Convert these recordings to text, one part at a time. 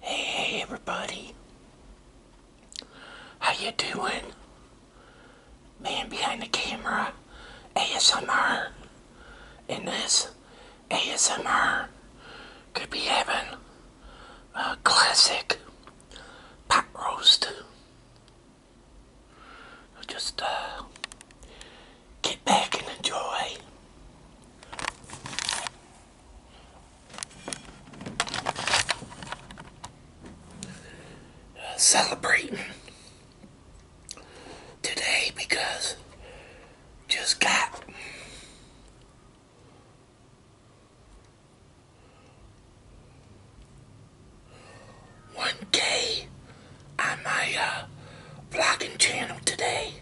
Hey, everybody. How you doing? Man behind the camera, ASMR. In this ASMR could be having a classic pot roast. Just uh, get back and enjoy. Celebrate today because just got one K on my vlogging uh, channel today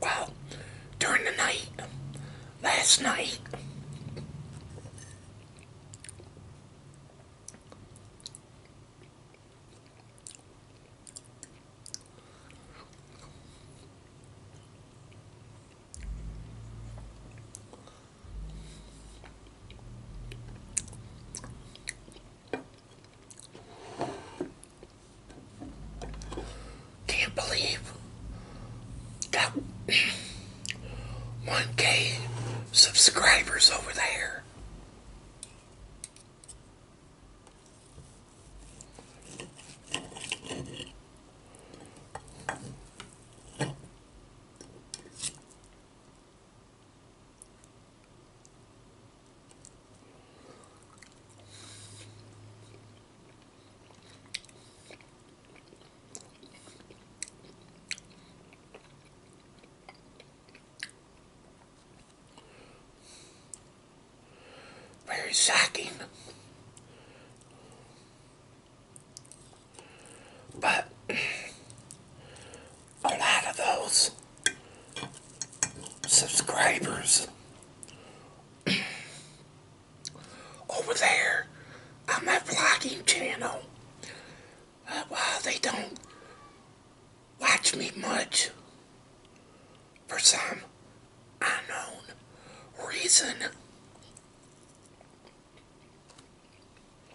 well, during the night, last night, can't believe that 1k subscribers over there. Very shocking. But a lot of those subscribers over there on my vlogging channel. Uh, they don't watch me much for some unknown reason.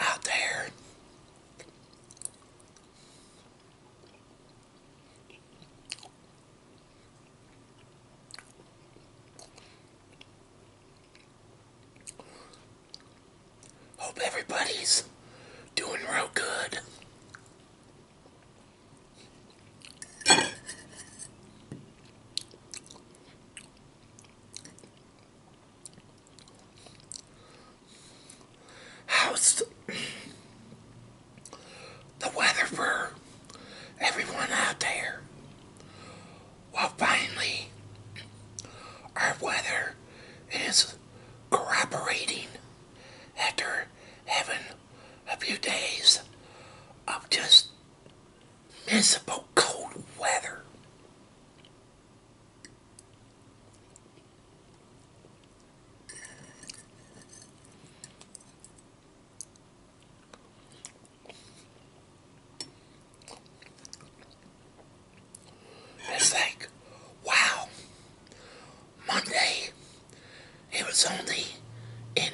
out there. Hope everybody's doing real good. How's the weather for everyone out there? Well, finally, our weather is cooperating after having a few days of just miserable cold weather. It's like, wow, Monday, it was only in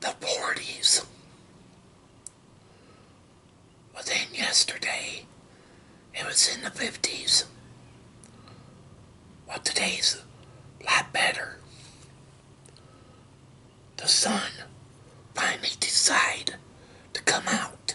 the 40s was in yesterday. It was in the 50s. But today's a lot better. The sun finally decided to come out.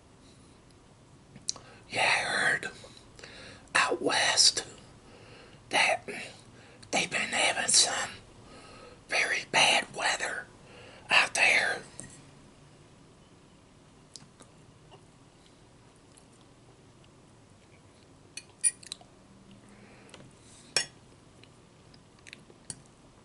Yeah, I heard out west that they've been having some very bad weather out there.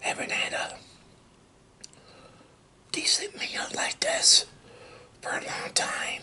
Haven't had a decent like this for a long time.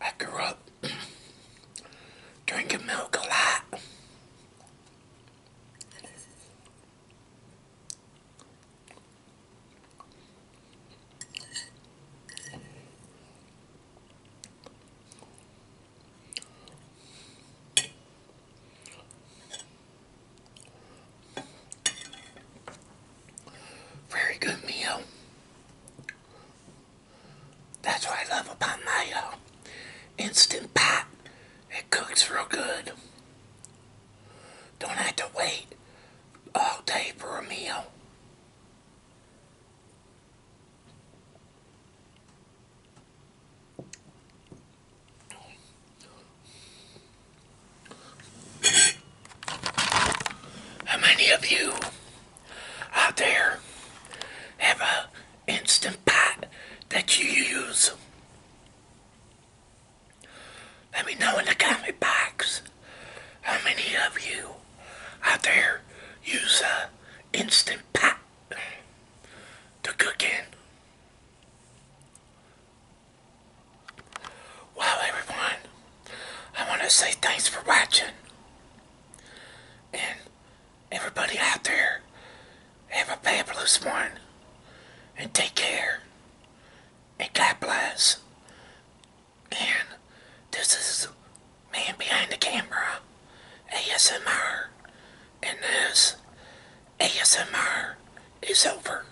I grew up drinking milk a lot. Very good meal. That's what I love about mayo. Instant Pot. It cooks real good. Don't have to wait all day for a meal. How many of you out there have a instant pot that you use? Let me know in the comment box how many of you out there use a instant pot to cook in. Well, everyone, I want to say thanks for watching. And everybody out there, have a fabulous one. And take care. And God bless. And this is Man Behind the Camera, ASMR. And this ASMR is over.